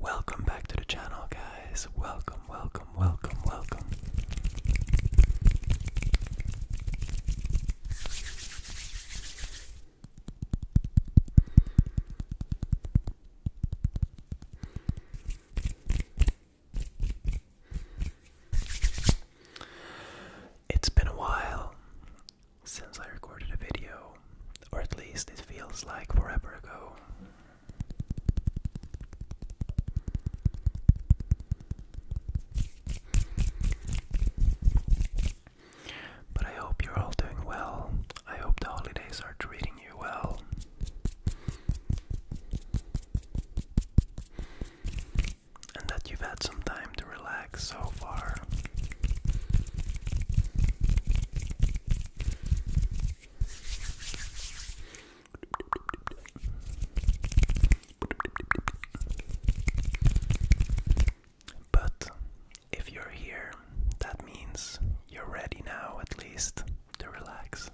Welcome back to the channel, guys. Welcome, welcome, welcome, welcome. It's been a while since I recorded a video, or at least it feels like forever ago. But I hope you're all doing well. I hope the holidays are treating you well. And that you've had some time to Relax so far. But if you're here, that means you're ready now, at least, to relax.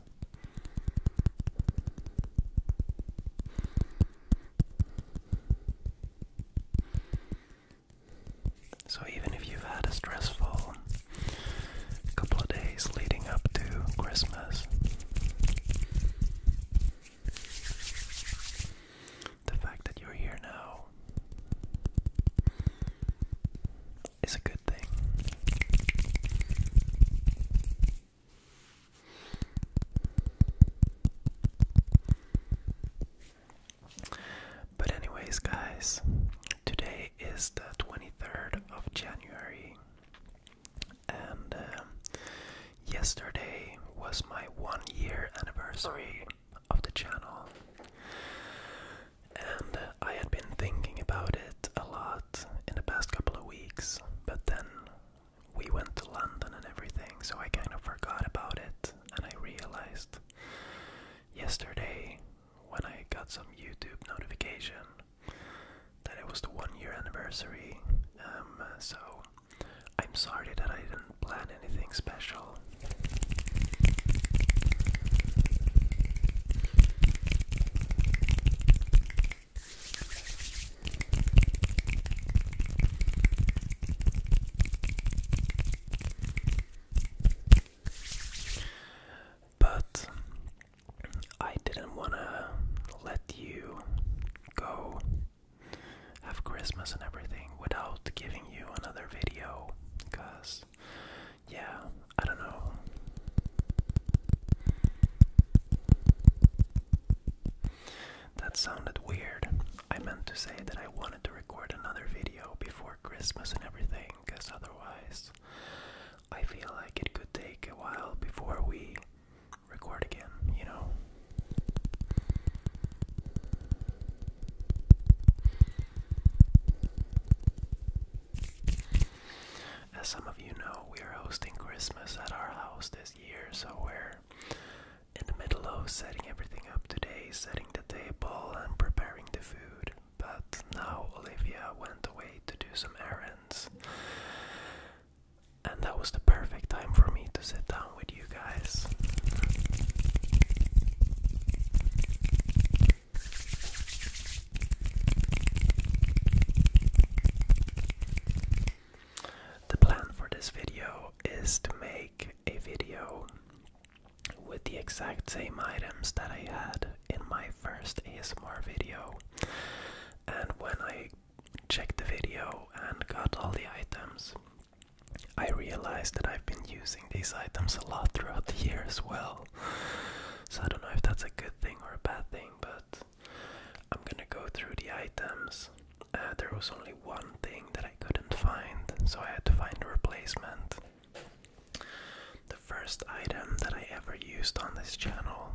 So, even if you've had a stressful couple of days leading up to Christmas, the fact that you're here now is a good thing. But, anyways, guys, today is the 23rd of January, and um, yesterday was my one year anniversary of the channel. And I had been thinking about it a lot in the past couple of weeks, but then we went to London and everything, so I kind of forgot about it and I realized yesterday when I got some YouTube notification that it was the one year anniversary. Um, so I'm sorry that I didn't plan anything special. But I didn't want to let you go have Christmas and everything without giving you another video because, yeah, I don't know. That sounded weird. I meant to say that I want to record another video before Christmas and everything, because otherwise, I feel like it could take a while before we record again, you know? As some of you know, we are hosting Christmas at our house this year, so we're in the middle of setting everything up today, setting the table and preparing the food. But now Olivia went away to do some errands. And that was the perfect time for me to sit down with you guys. The plan for this video is to make a video with the exact same items that I had in my first ASMR video. And when I checked the video and got all the items, I realized that I've been using these items a lot throughout the year as well. So I don't know if that's a good thing or a bad thing, but I'm gonna go through the items uh, there was only one thing that I couldn't find, so I had to find a replacement. The first item that I ever used on this channel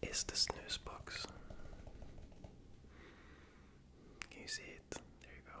is the snooze box. Can you see it? There you go.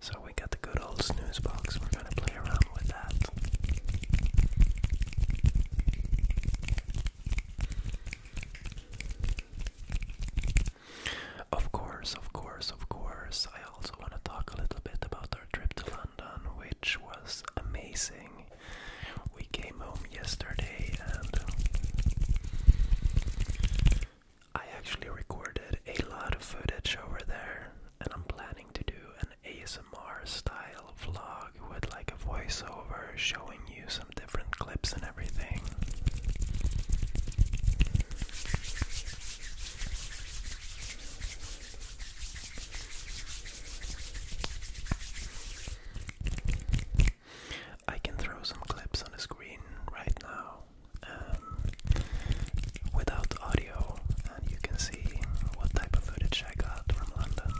So we got the good old snooze box. We're going to play around with that. Of course, of course, of course. I also want to talk a little bit about our trip to London, which was amazing. We came home yesterday and I actually recorded a lot of footage over there and I'm planning to do an ASMR style vlog with like a voiceover showing you some different clips and everything. I can throw some clips on the screen right now um, without audio, and you can see what type of footage I got from London.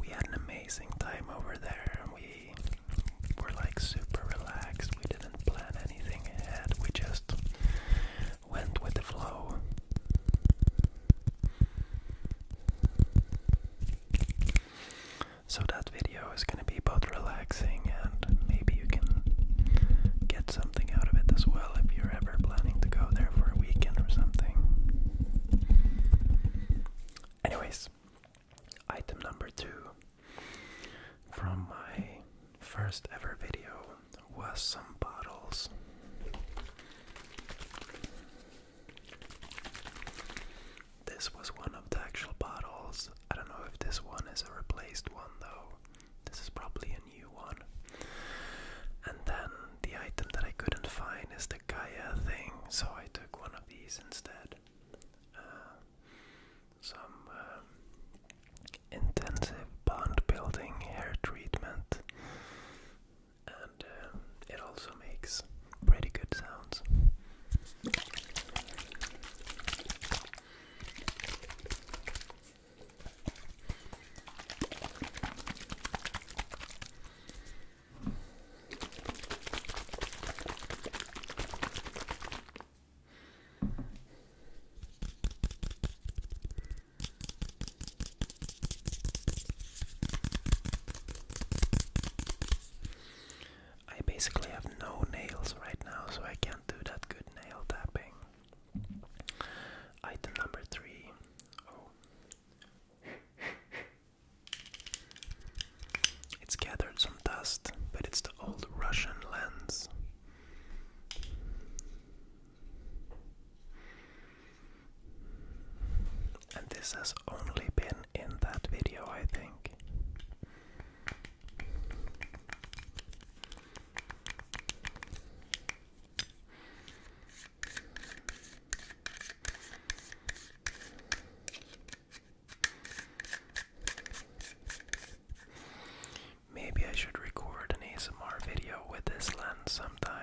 We had an amazing time over there, we we're like super relaxed. We didn't plan anything ahead. We just went with the flow. So that video is going to be both relaxing and maybe you can get something out of it as well if you're ever planning to go there for a weekend or something. Anyways, Item number two from my first ever video was some bottles. This was one of the actual bottles. I don't know if this one is a replaced one though. This is probably a new one. And then the item that I couldn't find is the Gaia thing, so I took one of these instead. Uh, some um, intensive bond building hair treatment, and um, it also makes pretty good sounds. I basically have no nails right now, so I can't do that good nail tapping. Item number three. Oh. It's gathered some dust, but it's the old Russian lens. And this has only been in that video, I think. Maybe I should record an ASMR video with this lens sometime.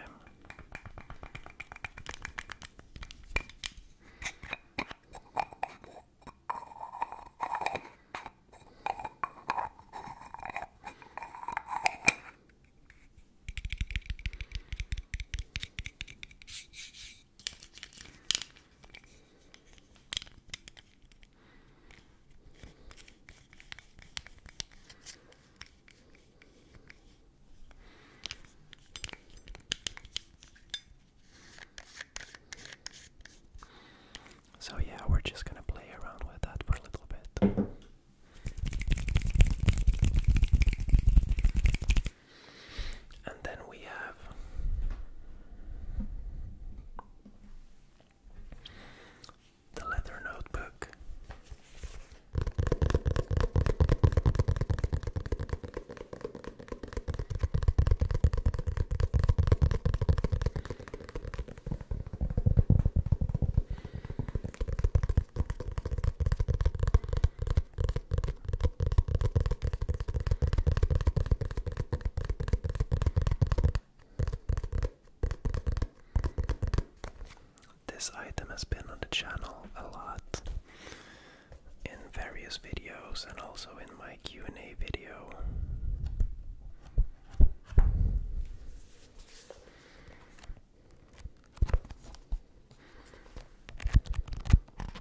So, yeah, we're just gonna play around with that for a little bit. And then we have the leather notebook. This item has been on the channel a lot in various videos and also in my Q&A video.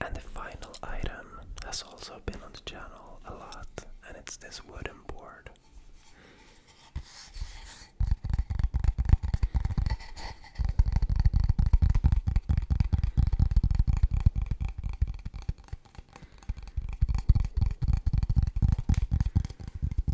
And the final item has also been on the channel a lot, and it's this wooden board.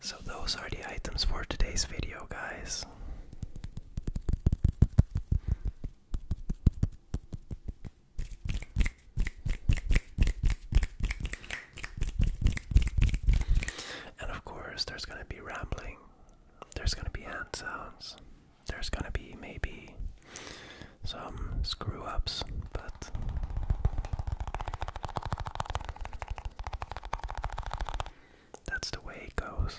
So, those are the items for today's video, guys. And of course, there's going to be rambling, there's going to be hand sounds, there's going to be maybe some screw ups, but. That's the way it goes.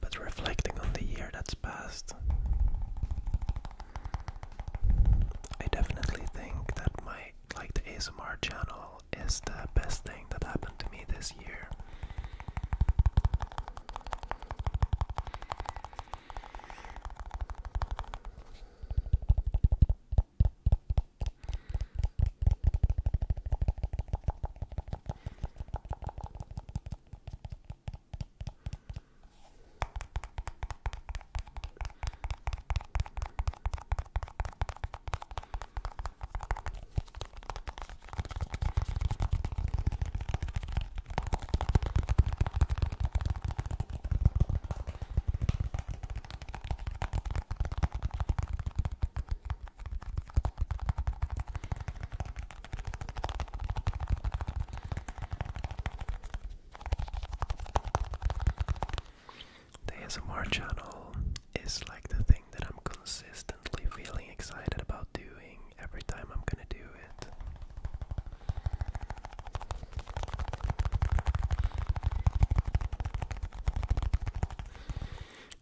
But reflecting on the year that's passed, I definitely think that my like the ASMR channel is the best thing that happened to me this year this year. The ASMR channel is like the thing that I'm consistently feeling excited about doing every time I'm gonna do it.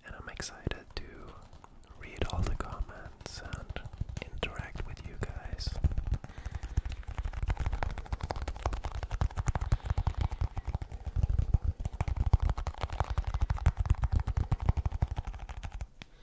And I'm excited to read all the comments and interact with you guys.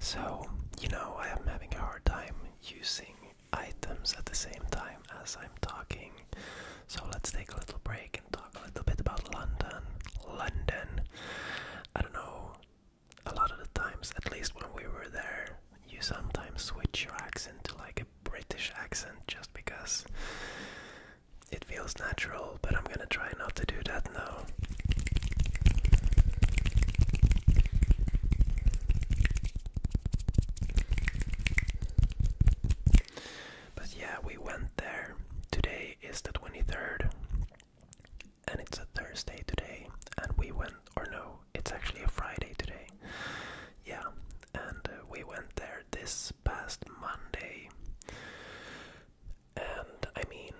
So, you know, I am having a hard time using items at the same time as I'm talking. So let's take a little break and talk a little bit about London. London. I don't know, a lot of the times, at least when we were there, you sometimes switch your accent to like a British accent just because it feels natural, but I'm gonna try not to do that now. But yeah, we went there. Today is the 23rd, and it's a Thursday today. And we went, or no, it's actually a Friday today. Yeah, and uh, we went there this past Monday. And I mean,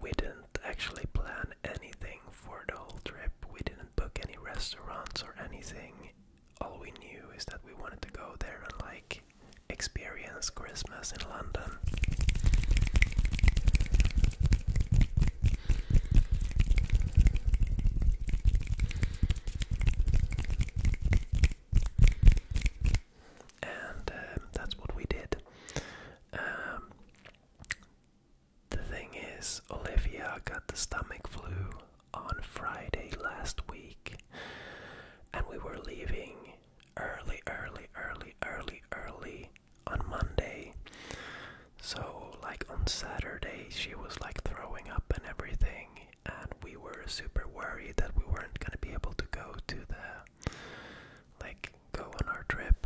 we didn't actually plan anything for the whole trip. We didn't book any restaurants or anything all we knew is that we wanted to go there and like experience Christmas in London. And um, that's what we did. Um, the thing is, Olivia got the stomach flu on Friday last week, and we were leaving early, early, early, early, early on Monday. So, like on Saturday, she was like throwing up and everything, and we were super worried that we weren't gonna be able to go to the like go on our trip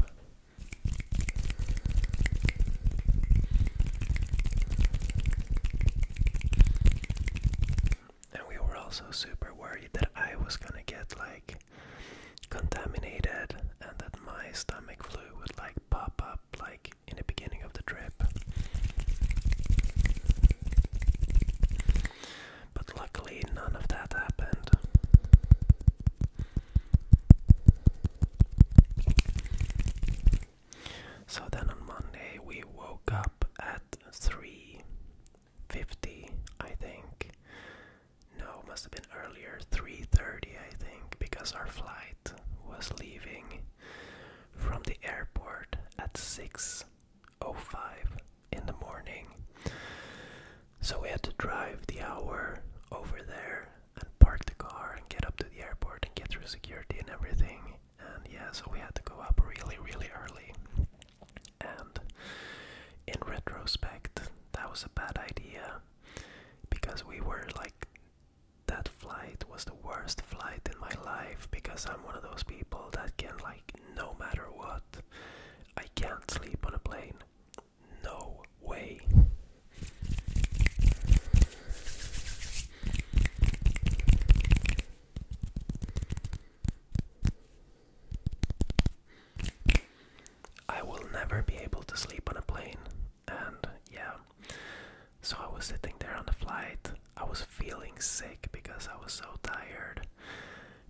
and we were also super worried that I was gonna get like contaminated and that my stomach flu would like pop up like in the beginning of the trip. But luckily, none of that happened. So then on Monday, we woke up at. 3.50, I think. No, must have been earlier, 3.30, I think, because our flight was leaving from the airport at 6.05 in the morning. So we had to drive the hour over there and park the car and get up to the airport and get through security and everything and yeah, so we had to go up really, really early. And in retrospect, that was a bad idea because we were like, that flight was the worst flight in my life because I'm one of those people that can, like, no matter what, I can't sleep on a plane. No way. I will never be able to sleep on a plane. And yeah, so I was sitting there on the flight. I was feeling sick because I was so tired.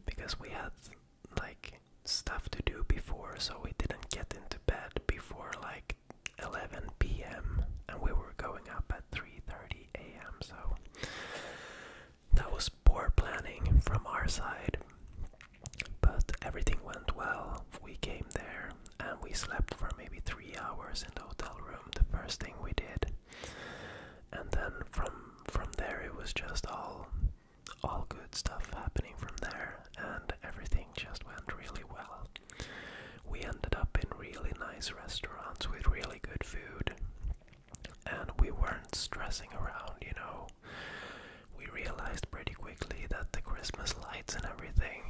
Because we had like stuff to do before, so we didn't get into bed before like 11 p.m. and we were going up at 3:30 a.m. So that was poor planning from our side, but everything went well. We came there and we slept for maybe three hours in the hotel room. The first thing we did, and then from from there it was just all all good stuff happening from there, and everything just went really well. We ended up in really nice restaurants with really good food and we weren't stressing around, you know. We realized pretty quickly that the Christmas lights and everything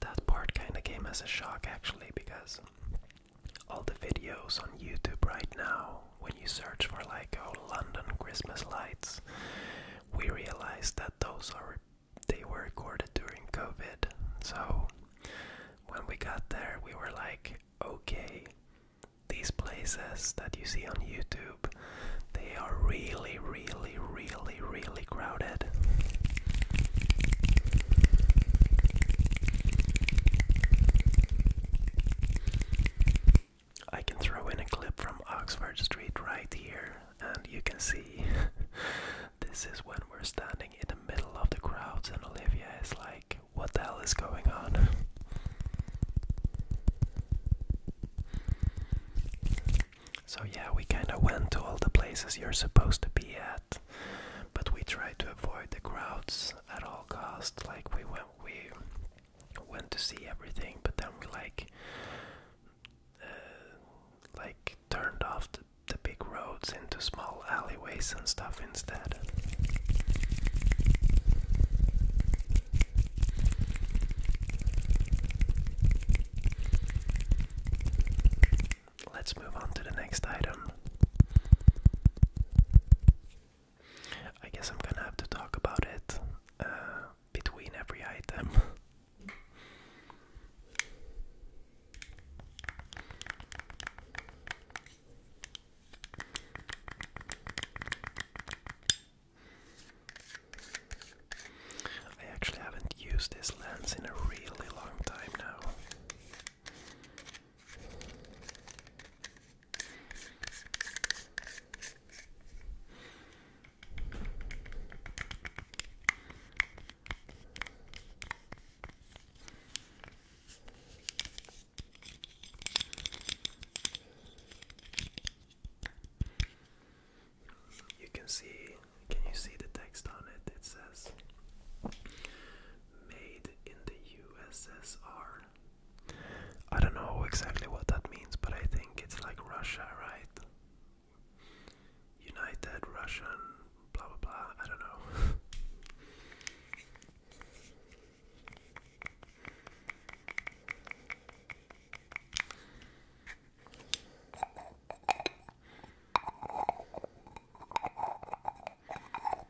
that part kind of came as a shock actually because all the videos on YouTube right now when you search for like old oh, London Christmas lights, we realized that those are they were recorded during COVID. So when we got there, we were like, okay, these places that you see on YouTube, they are really, really, really, really crowded. I can throw in a clip from Oxford Street right here, and you can see this is when we're standing in the middle of the crowds, and Olivia is like, What the hell is going on? So, yeah, we kind of went to all the places you're supposed to be at, but we tried to avoid the crowds at all costs. Like, we went, we went to see everything, but then we like uh, like turned off the, the big roads into small alleyways and stuff instead. Let's move on to the next item. I guess I'm gonna have to talk about it uh, between every item. I actually haven't used this lens in a really long time now. You can see, can you see the text on it? It says made in the USSR I don't know exactly what that means, but I think it's like Russia, right? United Russian, blah blah blah. I don't know.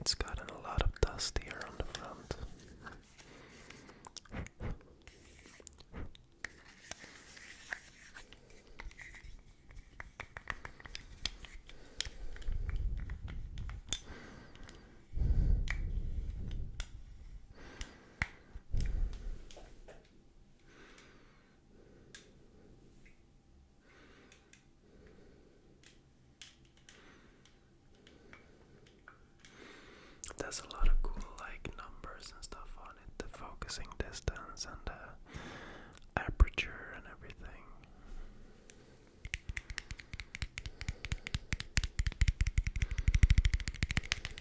It's gotten a lot of dust here on the front. There's a lot of cool like numbers and stuff on it, the focusing distance and the aperture and everything.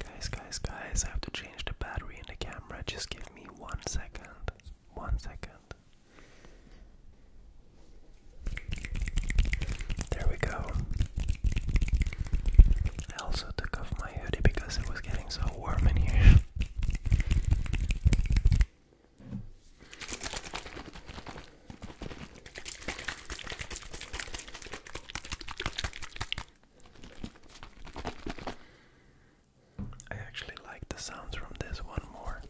Guys, guys, guys, I have to change the battery in the camera. Just give me one second. One second. There we go. I also took off my hoodie because it was getting so warm in here. I actually like the sounds from this one more.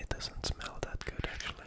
It doesn't smell that good actually.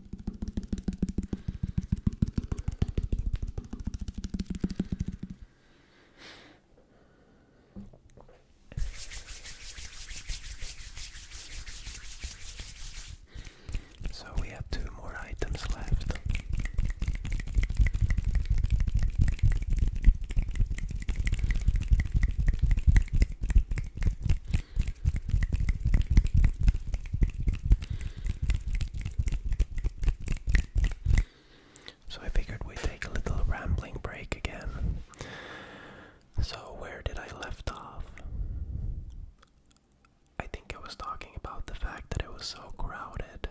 So we have two more items left. So I figured we'd take a little rambling break again. So, where did I left off? I think I was talking about the fact that it was so crowded.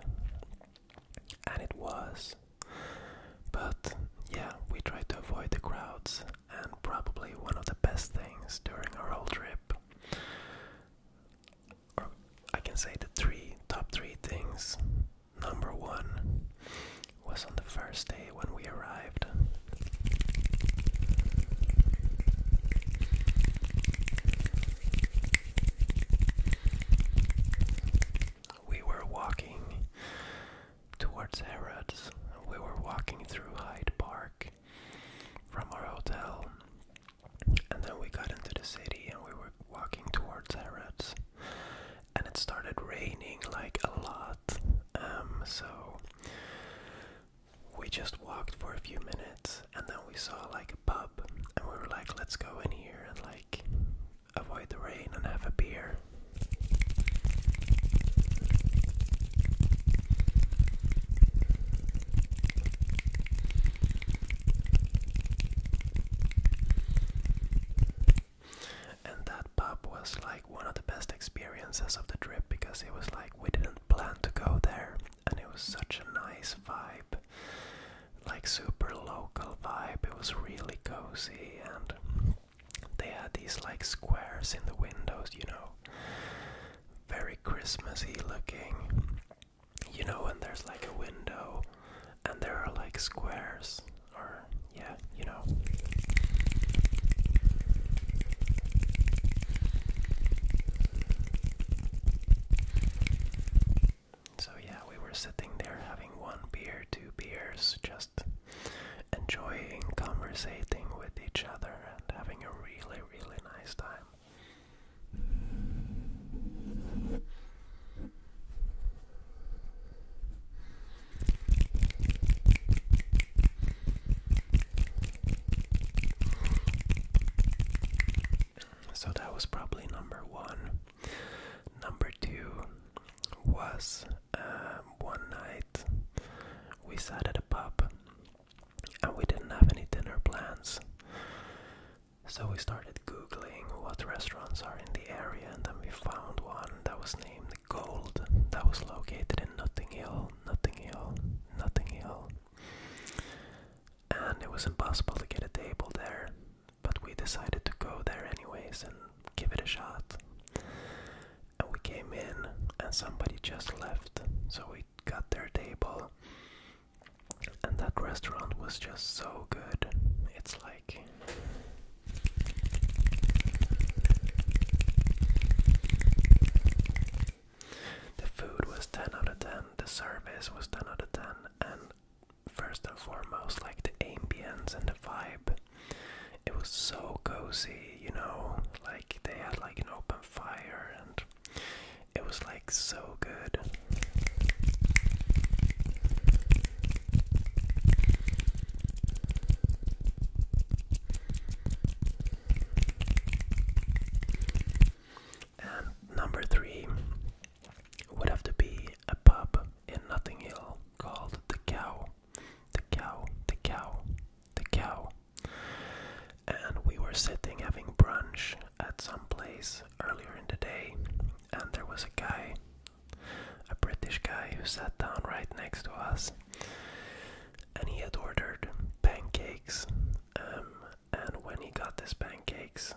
And it was. But yeah, we tried to avoid the crowds, and probably one of the best things during our whole trip. I can say the three top three things. Number one was on the first day when we arrived. We were walking towards Harrods. We were walking through Hyde Park from our hotel and then we got into the city and we were walking towards Harrods. And it started raining like a lot. Um, so we just walked for a few minutes and then we saw like a pub and we were like, let's go in here and like avoid the rain and have a beer. And that pub was like one of the best experiences of the trip because it was like we didn't plan to go there and it was such a nice vibe. Like super local vibe. It was really cozy and they had these like squares in the windows, you know. Very Christmassy looking. You know when there's like a window and there are like squares or yeah, you know. So yeah, we were sitting there having one beer, two beers, just enjoying conversating with each other and having a really, really nice time. So that was probably number one. Number two was um, one night we sat at a pub and we didn't have any dinner plans. So we started googling what restaurants are in the area, and then we found one that was named Gold, that was located in Nothing Hill, Nothing Hill, Nothing Hill. And it was impossible to get a table there, but we decided to go there anyways and give it a shot. And we came in, and somebody just left, so we got their table. And that restaurant was just so good. It's like the food was 10 out of 10, the service was 10 out of 10, and first and foremost, like the ambience and the vibe. It was so cozy, you know, like they had like an open fire and it was like so good. And number three would have to be a pub in Notting Hill called The Cow. The Cow, The Cow, The Cow and we were sitting having brunch at some place earlier in the day, and there was a guy, a British guy, who sat down right next to us, and he had ordered pancakes. Um, and when he got his pancakes,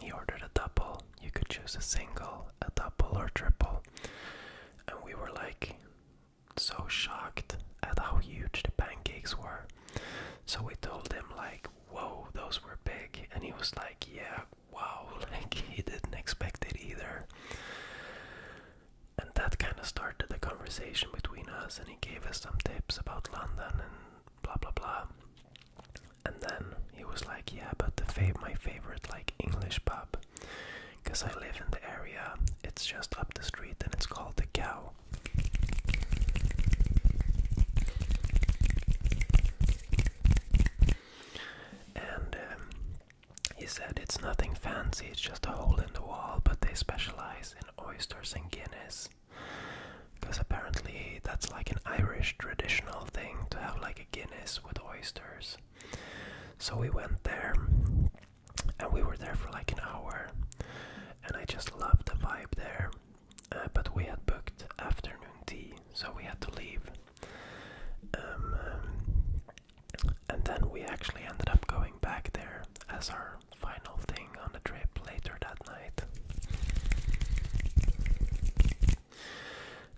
he ordered a double. You could choose a single, a double, or triple. And we were like so shocked at how huge the pancakes were. So we told him like whoa, those were big. And he was like, yeah, wow, like he didn't expect it either. And that kind of started the conversation between us, and he gave us some tips about London and blah blah blah. And then he was like, yeah, but the fav my favorite like English pub, because I live in the area. It's just up the street, and it's called the Cow. And um, he said it's nothing fancy, it's just a hole in the wall, but they specialize in oysters and Guinness. Because apparently that's like an Irish traditional thing to have like a Guinness with oysters. So we went there and we were there for like an hour and I just loved the vibe there. Uh, but we had booked afternoon tea, so we had to leave. Um, um, and then we actually ended up going back there as our final thing on the trip later that night.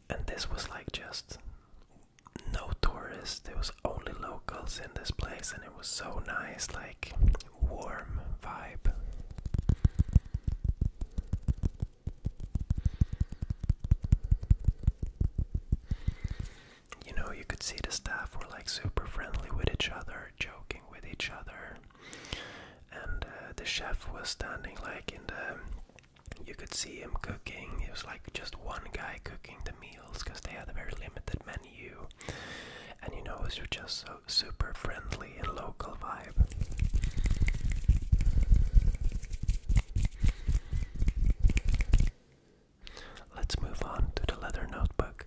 And this was like just no tourists, there was only locals in this place and it was so nice, like warm vibe. You know, you could see the staff were like super friendly with each other, joking with each other. And uh, the chef was standing like in the. You could see him cooking. It was like just one guy cooking the meals because they had a very limited menu. And you know, it was just so super friendly and local vibe. Let's move on to the leather notebook.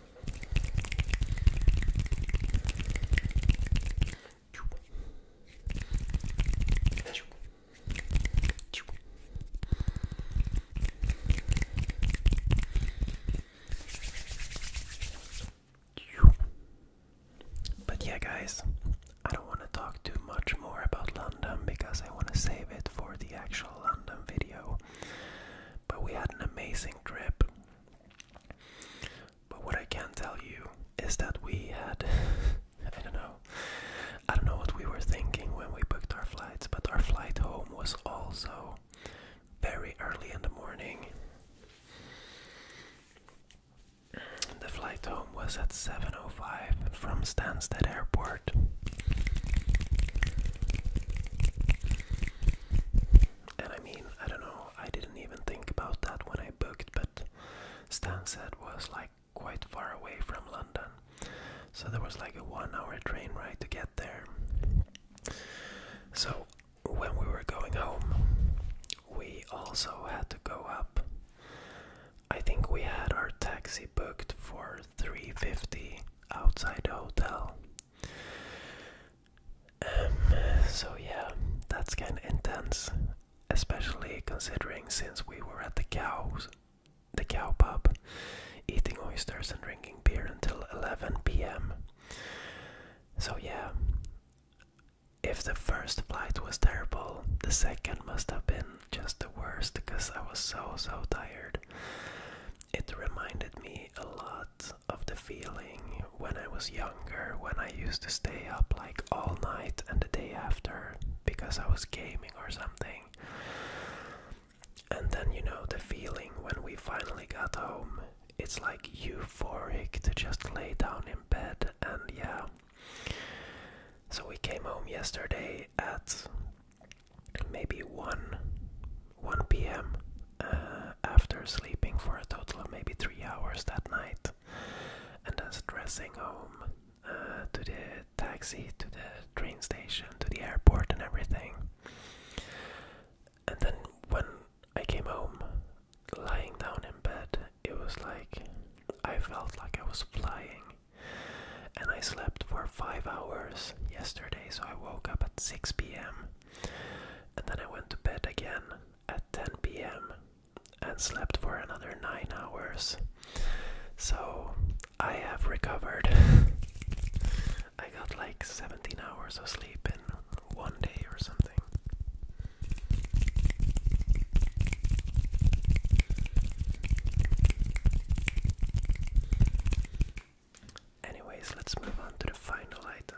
But yeah, guys, I don't want to talk too much more about London because I want to save it for the actual London video. But we had an amazing trip. But what I can tell you is that we had I don't know I don't know what we were thinking when we booked our flights, but our flight home was also very early in the morning. The flight home was at 7:05 from Stansted Airport. And I mean, I don't know, I didn't even think about that when I booked, but Stansted was like quite far away from London. So there was like a one hour train ride to get there. So when we were going home, we also had to go up. I think we had our taxi booked for 350 outside the hotel um, so yeah, that's kind of intense, especially considering since we were at the cows, the cow pub, eating oysters and drinking beer until 11 p.m. So yeah, if the first flight was terrible, the second must have been just the worst because I was so so tired. It reminded me a lot of the feeling when I was younger, when I used to stay up like all night and the day after because I was gaming or something. And then, you know, the feeling when we finally got home, it's like euphoric to just lay down in bed and yeah. So we came home yesterday at maybe 1 1 p.m. Uh, after sleeping for a total of maybe three hours that night, and then dressing home uh, to the taxi, to the train station, to the airport, and everything. And then when I came home, lying down in bed, it was like I felt like I was flying. And I slept for five hours yesterday, so I woke up at 6 pm. And then I went to bed again at 10 p.m. and slept for another 9 hours. So I have recovered. I got like 17 hours of sleep in one day or something. Anyways, let's move on to the final item.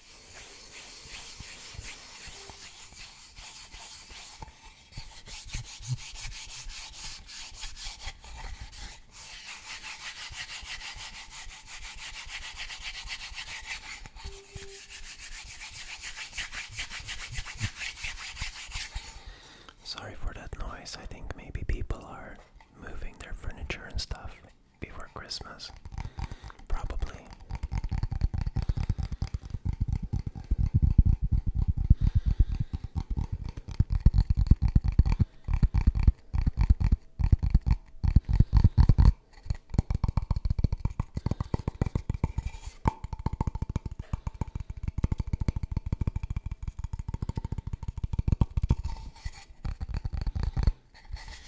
Sorry for that noise. I think maybe people are moving their furniture and stuff before Christmas probably.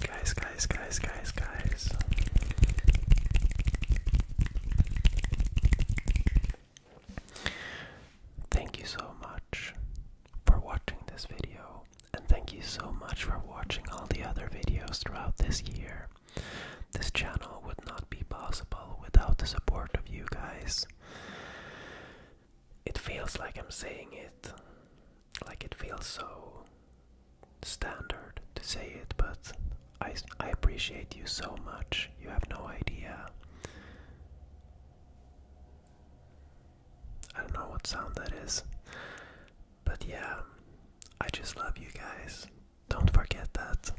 Guys, guys, guys, guys, guys. Thank you so much for watching this video, and thank you so much for watching all the other videos throughout this year. This channel would not be possible without the support of you guys. It feels like I'm saying it, like it feels so standard to say it, but I, I appreciate you so much. You have no idea. I don't know what sound that is. But yeah, I just love you guys. Don't forget that.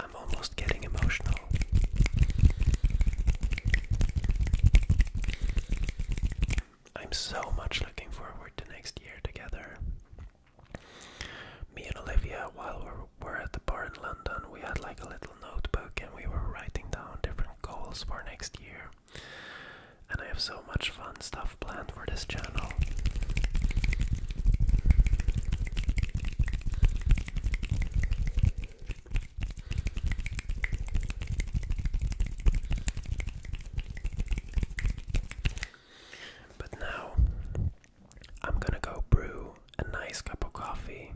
I'm almost getting emotional. I'm so much looking forward to next year together. Me and Olivia, while we were at the bar in London, we had like a little notebook and we were writing down different goals for next year. And I have so much fun stuff planned for this channel. But now I'm gonna go brew a nice cup of coffee.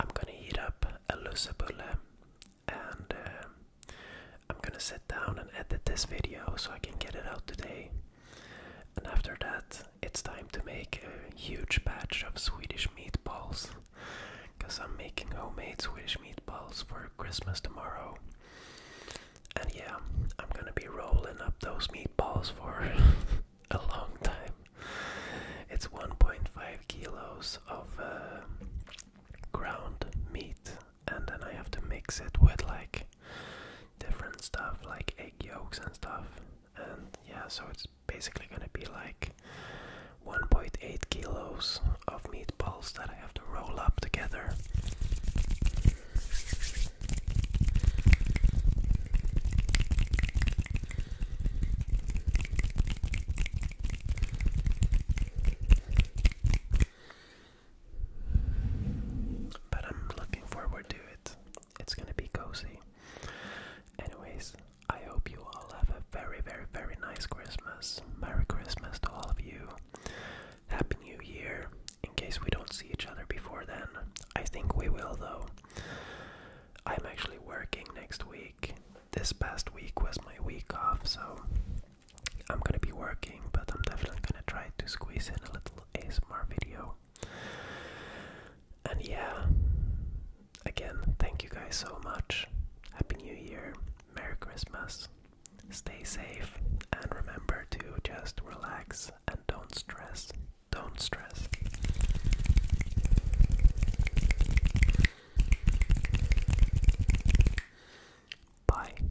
I'm gonna heat up a lusabulle and uh, I'm gonna sit down and edit this video so I can get it out today. And after that, it's time to make a huge batch of Swedish meatballs. Because I'm making homemade Swedish meatballs for Christmas tomorrow. And yeah, I'm gonna be rolling up those meatballs for a long time. It's 1.5 kilos of uh, ground meat and then I have to mix it with like different stuff like egg yolks and stuff. And yeah, so it's basically gonna be like 1.8 kilos of meatballs that I have to roll up together. But I'm looking forward to it. It's gonna be cozy. Anyways, I hope you all have a very, very, very nice Christmas. Merry Christmas to all of you. Happy New Year. In case we don't see each other before then, I think we will though. I'm actually working next week. This past week was my week off, so I'm gonna be working, but I'm definitely gonna try to squeeze in a little a smart video. And yeah, again, thank you guys so much. Happy New Year, Merry Christmas, stay safe, and remember to just relax and don't stress. Don't stress. Bye.